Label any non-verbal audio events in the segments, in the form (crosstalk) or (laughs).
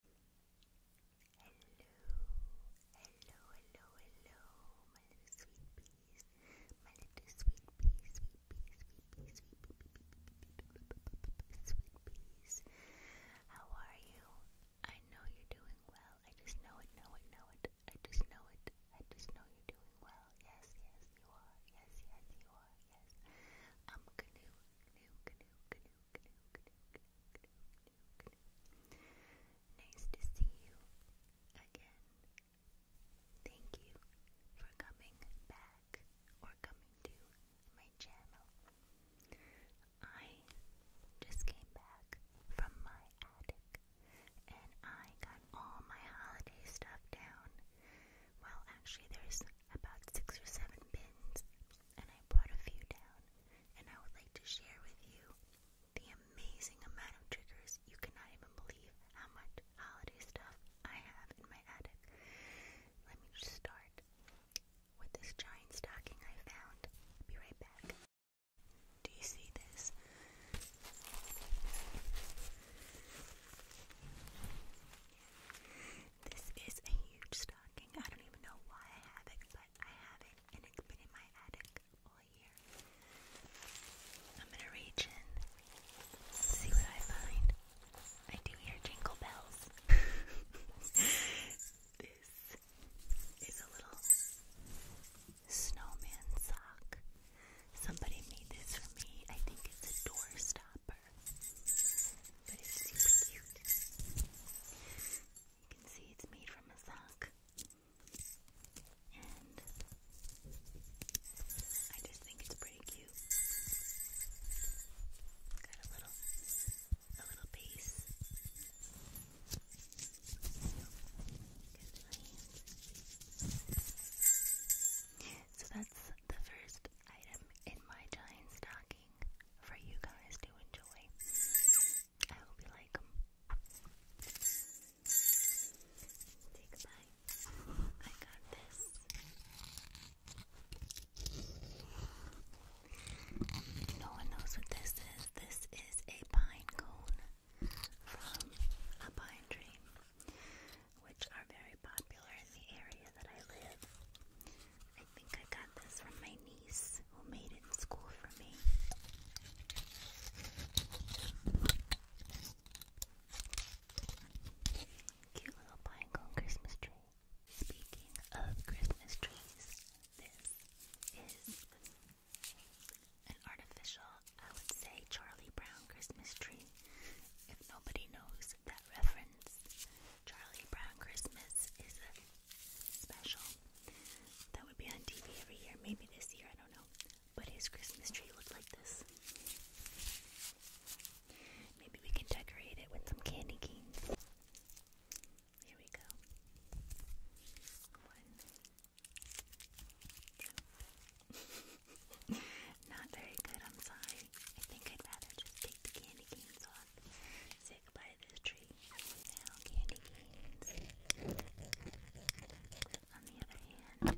hello, hello, hello, my little sweet peas, my little sweet peas, sweet peas, sweet peas, sweet peas, sweet peas. How are you? I know you're doing well. I just know it, know it, know it. I just know it. I just know you're doing well. Yes, yes, you are. Yes, yes, you are. Yes. I'm canoe, canoe, canoe, canoe, Nice to see you again. Thank you for coming back or coming to my channel. I just came back from my attic and I got all my holiday stuff down. Well, actually, there's about six or seven pins, and I brought a few down, and I would like to share with you the amazing amount of triggers. You cannot even believe how much holiday stuff I have in my attic. Let me just start with this giant stocking I found. I'll be right back. Do you see this? This is a huge stocking. I don't even know why I have it, but I have it, and it's been in my attic all year. I'm gonna reach in, see what I find. I do hear jingle bells. (laughs) this is a little snowman sock. Somebody made this for me. I think it's a door stop hopper. You can see it's made from a sock. And I just think it's pretty cute. Got a little a little base. So that's the first item in my giant stocking for you guys to enjoy. I hope you like them. Say goodbye. I got this. No one knows what this is. This is a pine cone from a pine tree, which are very popular in the area that I live. I think I got this from my niece who made it in school for me. Cute little pinecone Christmas tree. Speaking of Christmas trees, this is an artificial, I would say, Charlie Brown Christmas tree. If nobody knows that reference, Charlie Brown Christmas is a special that would be on TV every year, maybe this year, I don't know. But his Christmas tree looked like this. Maybe we can decorate it with some candy canes. Here we go. One. Two. (laughs) Not very good, I'm sorry. I think I'd rather just take the candy canes off. Sit by this tree. Now, candy canes. On the other hand,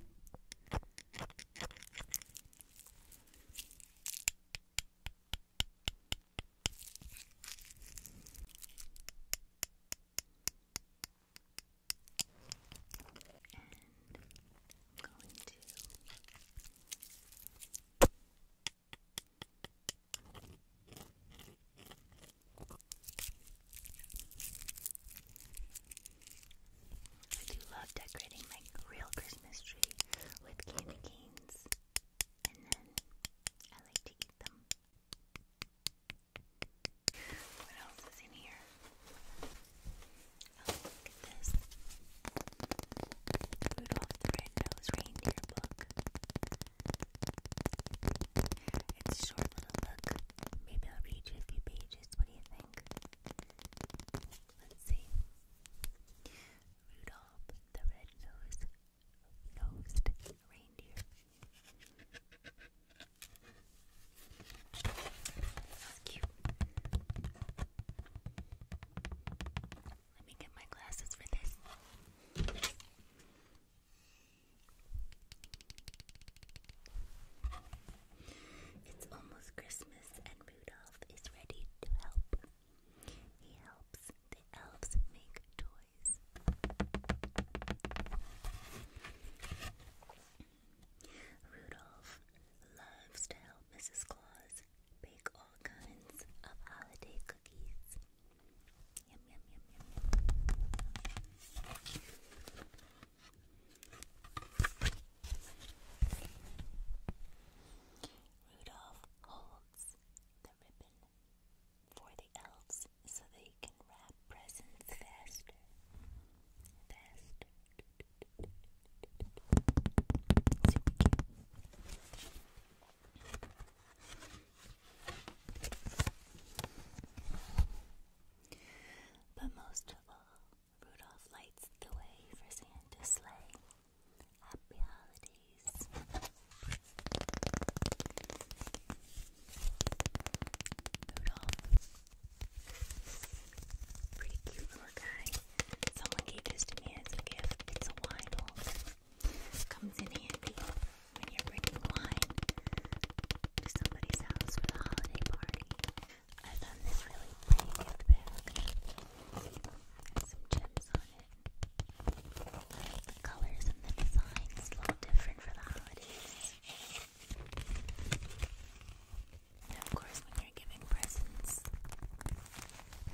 I do love decorating my real Christmas tree with candy canes, and then I like to eat them. What else is in here? i Oh, look at this. Rudolph the Red-Nosed Reindeer book. It's a short little book. Maybe I'll read you a few pages. What do you think? Let's see. Rudolph the Red-Nosed Reindeer. That's cute. Let me get my glasses for this. It's almost Christmas, and Rudolph is ready to help. He helps the elves make toys. Rudolph loves to help Mrs. Claus bake all kinds of holiday cookies. Yum, yum, yum, yum, Rudolph holds the ribbon for the elves so they can wrap presents faster. Faster. Super cute. But most of all, Rudolph lights the way for Santa's sleigh. Happy holidays. Rudolph, Pretty cute little guy. Someone gave this to me as a gift. It's a wine holder. Comes in handy when you're bringing wine to somebody's house for the holiday party. I found this really pretty gift bag. some gems on it. The colors and the design is a little different for the holidays. And of course, when you're giving presents,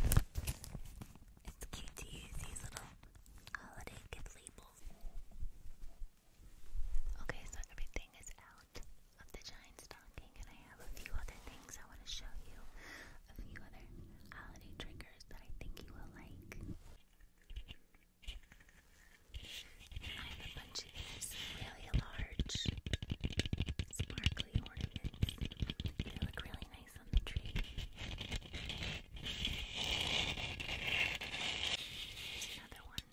it's cute to use these little holiday gift labels. Okay, so everything is out of the giant stocking, and I have a few other things I want to show you. A few other holiday triggers that I think you will like. I'm a bunch of these really large, sparkly ornaments. They look really nice on the tree. another one.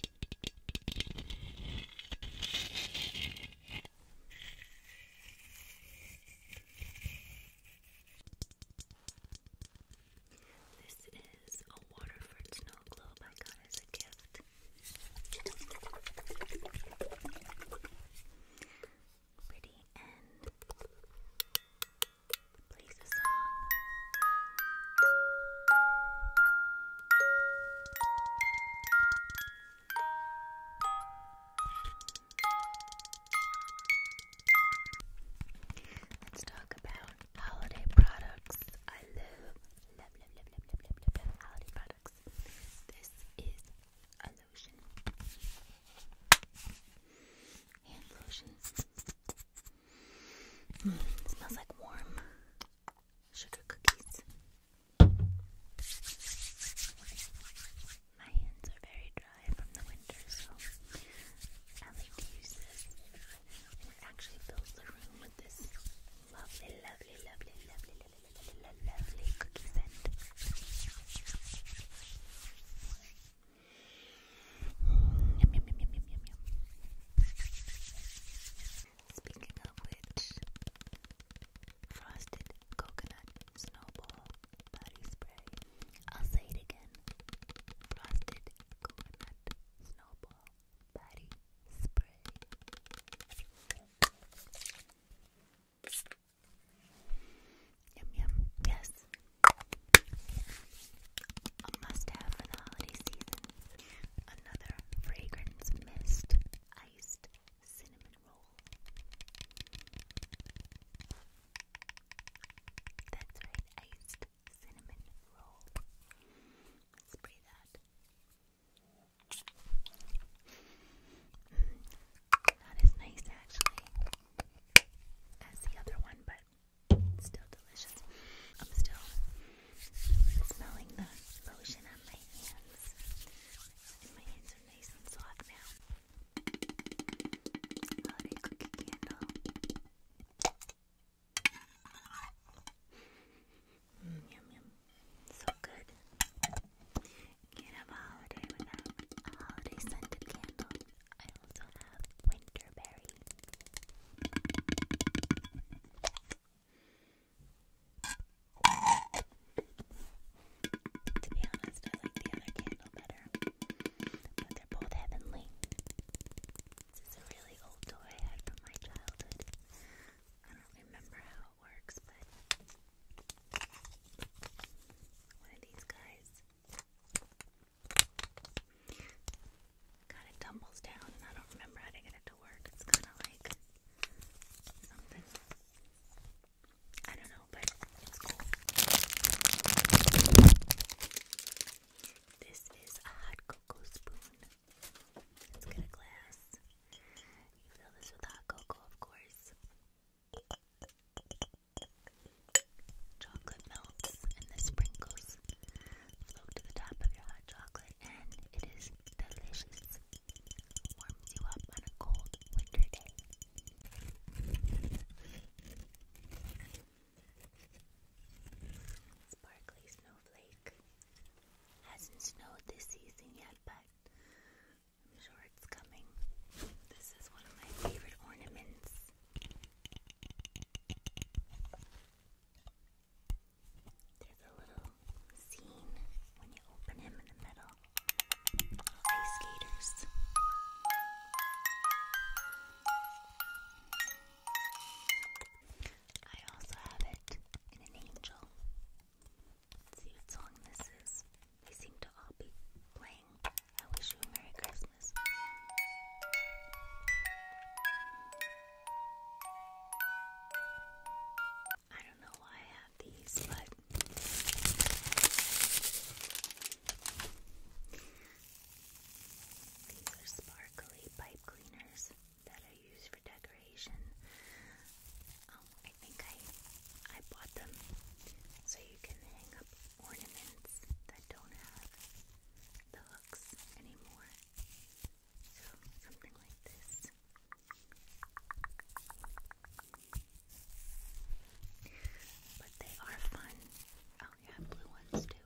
This is a Waterford snow globe I got as a gift. Pretty and plays a song. Let's talk about holiday products. I love, blah products. This is a lotion. Hand lotion. Mm, smells like warm sugar cookies. My hands are very dry from the winter, so I like to use this actually fills the room with this lovely, lovely, lovely, lovely, lovely, lovely, lovely, lovely cookie scent. Mm, yum, yum, yum, yum, yum, yum, Speaking of which, frosted coconut snowball body spray. I'll say it again. Frosted coconut snowball body spray. Yum yum, yes. A must have for the holiday season. Another fragrance mist iced cinnamon roll. That's right, iced cinnamon roll. Spray that. Mm, nice actually as the other one, but still delicious. I'm still smelling the lotion on my hands. And my hands are nice and soft now. Mm, yum yum. So good. can a holiday holiday scented candle. I also have winterberry. To be honest, I like the other candle better. But both heavenly. This is a really old toy I had from my childhood. I don't remember how it works, but one of these guys kind of tumbles down, and I don't remember how to get it to work. It's kind of like something. I don't know, but it's cool. This is a hot cocoa spoon. Let's get a glass. You fill this with hot cocoa, of course. Chocolate melts and the sprinkles float to the top of your hot chocolate, and it is delicious. Warms you up on a cold winter day. Sparkly snowflake. Hasn't snowed this season yet, but I'm sure it's coming. This is one of my favorite ornaments. There's a little scene when you open him in the middle. Ice skaters. I also have it in an angel. see what song this is. They seem to all be playing I Wish You a Merry Christmas. I don't know why I have these, but these are sparkly pipe cleaners that I use for decoration. Um, I think I I bought them so you can hang up ornaments that don't have the hooks anymore. So something like this. But they are fun. Oh yeah, blue ones too.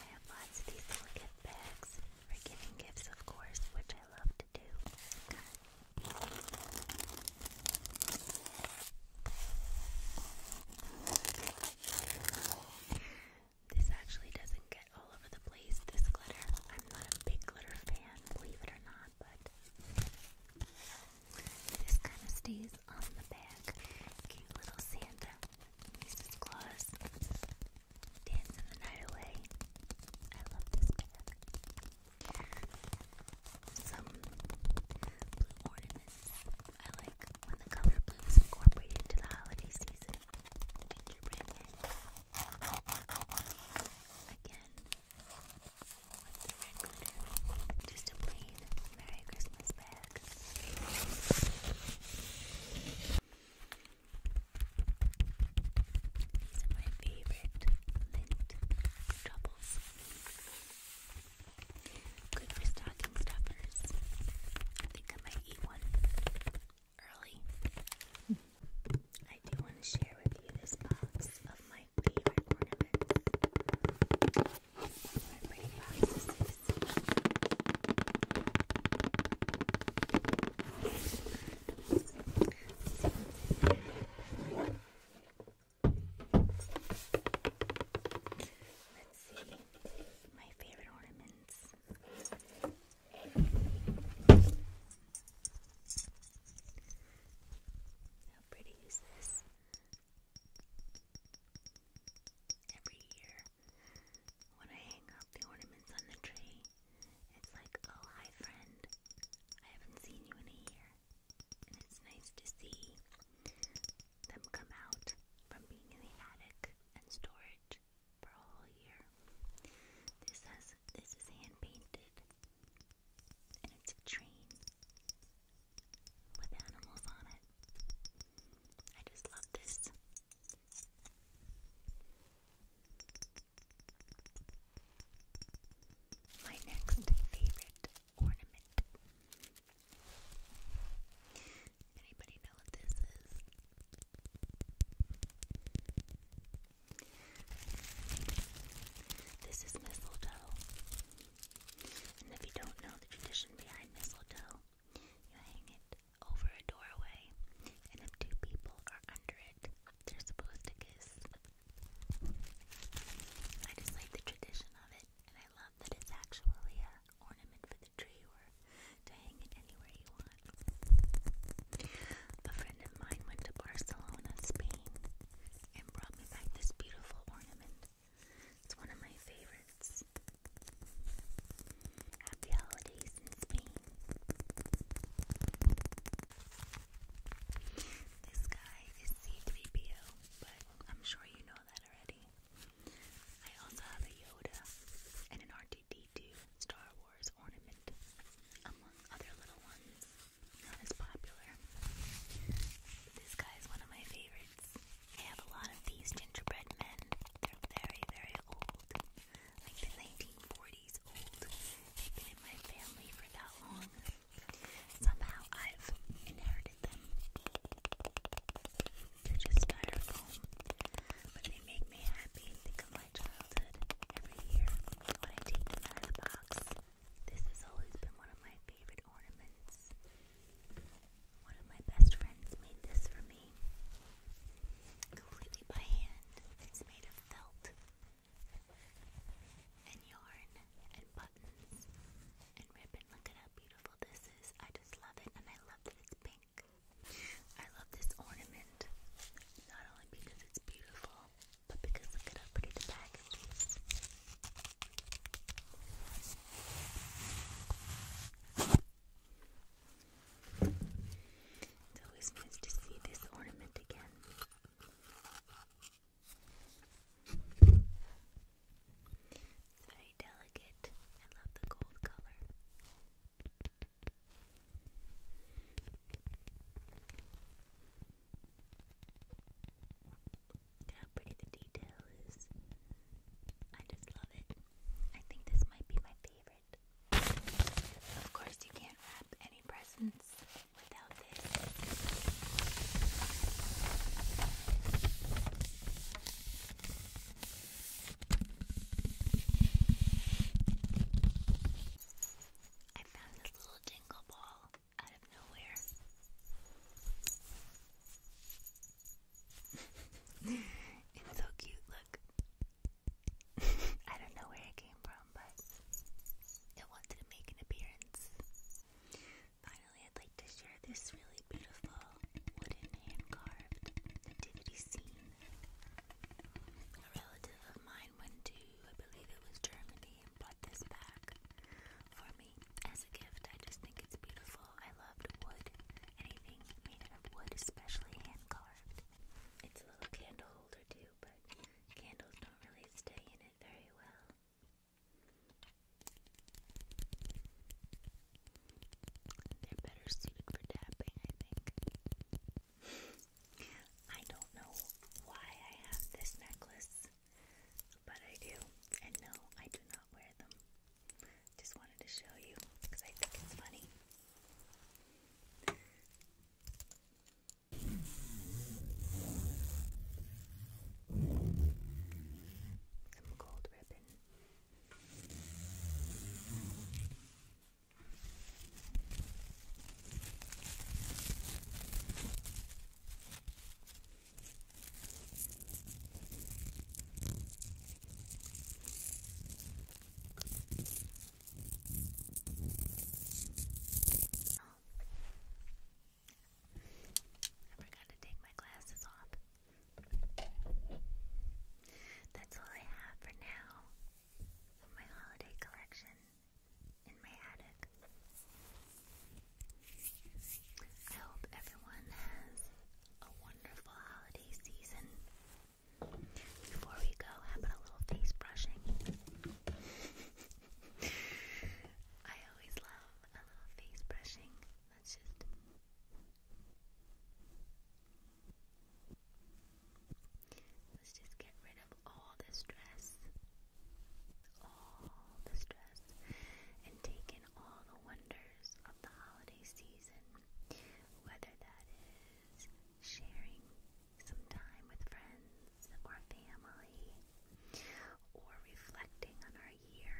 I have lots of these little gift bags for giving gifts, of course, which I love to do. This actually doesn't all over the place, this glitter. I'm not a big glitter fan, believe it or not, but this kind of stays on the back. Cute little Santa. Mrs. Claus. Dancing the night away. I love this bag. Some blue ornaments. I like when the color blue is incorporated into the holiday season. Gingerbread men. Again, with Just a plain Merry Christmas bag. These are my favorite lint troubles. Good for stocking stuffers. I think I might eat one early. I do want to share with you this box of my favorite ornaments. Let's see my favorite ornaments. How pretty is this? Every year, when I hang up the ornaments on the tree, it's like, oh, hi, friend. I haven't seen you in a year. And it's nice to see them come out from being in the attic and storage for a year. This has this is hand painted, and it's a train with animals on it. I just love this. My next favorite ornament. Anybody know what this is? This is mistletoe. And if you don't know the tradition behind mistletoe, you hang it over a doorway, and if two people are under it, they're supposed to kiss. I just like the tradition of it, and I love that it's actually an ornament for the tree or to hang it anywhere you want. A friend of mine went to Barcelona, Spain, and brought me back this beautiful ornament. It's one of my favorites. Happy holidays in Spain. This guy is C3PO, but I'm sure you know that already. I also have a Yoda and an R2D Star Wars ornament, among other little ones. Not as popular. This guy is one of my favorites. I have a lot of these gingerbread men. They're very, very old. Like the 1940s old. They've been in my family for that long. Somehow I've inherited them. They're just styrofoam. But they make me happy. Think of my childhood every year when I take them out of the box. This has always been one of my favorite ornaments. One of my best friends made this for me. Completely by hand. It's made of felt and yarn and buttons and ribbon. Look at how beautiful this is. I just love it and I love that it's pink. I love this ornament, not only because it's beautiful, but because look at how pretty the package is. It's always nice to see this ornament again. It's very delicate. I love the gold color. Look pretty the I just love it. I think this might be my favorite. Of course, you can't wrap any presents without this. I found this little dingle ball out of nowhere. (laughs) it's so cute, look. (laughs) I don't know where it came from, but it wanted to make an appearance. Finally, I'd like to share this really beautiful wooden hand-carved nativity scene. A relative of mine went to, I believe it was Germany, and brought this back for me as a gift. I just think it's beautiful. I loved wood. Anything made out of wood, especially hand-carved. It's a little candle holder too, but candles don't really stay in it very well. They're better suited for tapping, I think. I don't know why I have this necklace, but I do. And no, I do not wear them. Just wanted to show you because I think it's funny. Some gold ribbon. I forgot to take my glasses off. That's all I have for now my holiday collection in my attic. I hope everyone has a wonderful holiday season. Before we go, how about a little face brushing? (laughs) I always love a little face brushing. That's just Let's just get rid of all the stress, all the stress, and take in all the wonders of the holiday season, whether that is sharing some time with friends or family, or reflecting on our year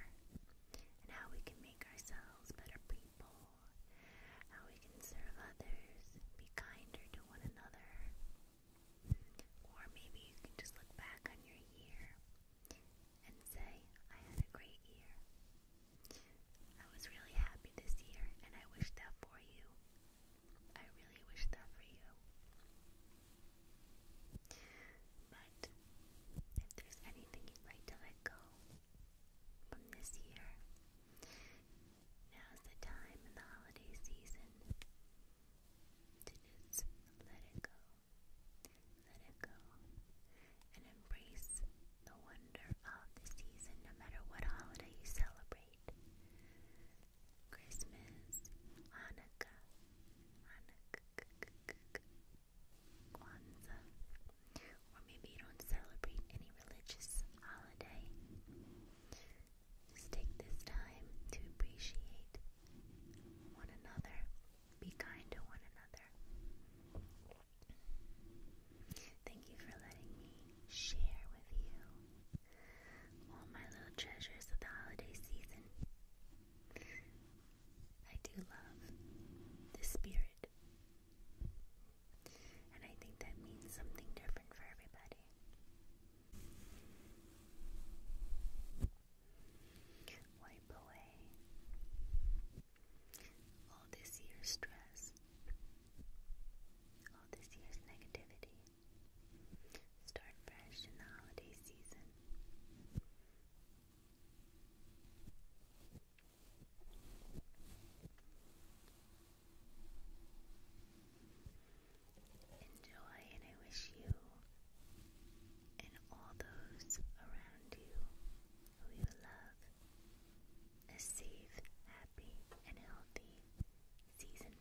and how we can make ourselves better people, how we can serve others, be kinder to one another. Or maybe you can just look back on your year and say, I had a great year. I was really happy this year and I wish that for you. I really wish that for you. But if there's anything you'd like to let go from this year, now's the time in the holiday season to just let it go. Let it go and embrace the wonder of the season, no matter what holiday you celebrate. Christmas, Hanukkah, Kwanzaa, or maybe you don't celebrate any religious holiday. Just take this time to appreciate one another, be kind to one another. Thank you for letting me share with you all my little treasures of the holiday season. I do love the spirit. And I think that means something different for everybody. Wipe away all this year's stress, all this year's negativity. Start fresh in the holiday season. Enjoy, and I wish you and all those around you who you love a safe, happy, and healthy season.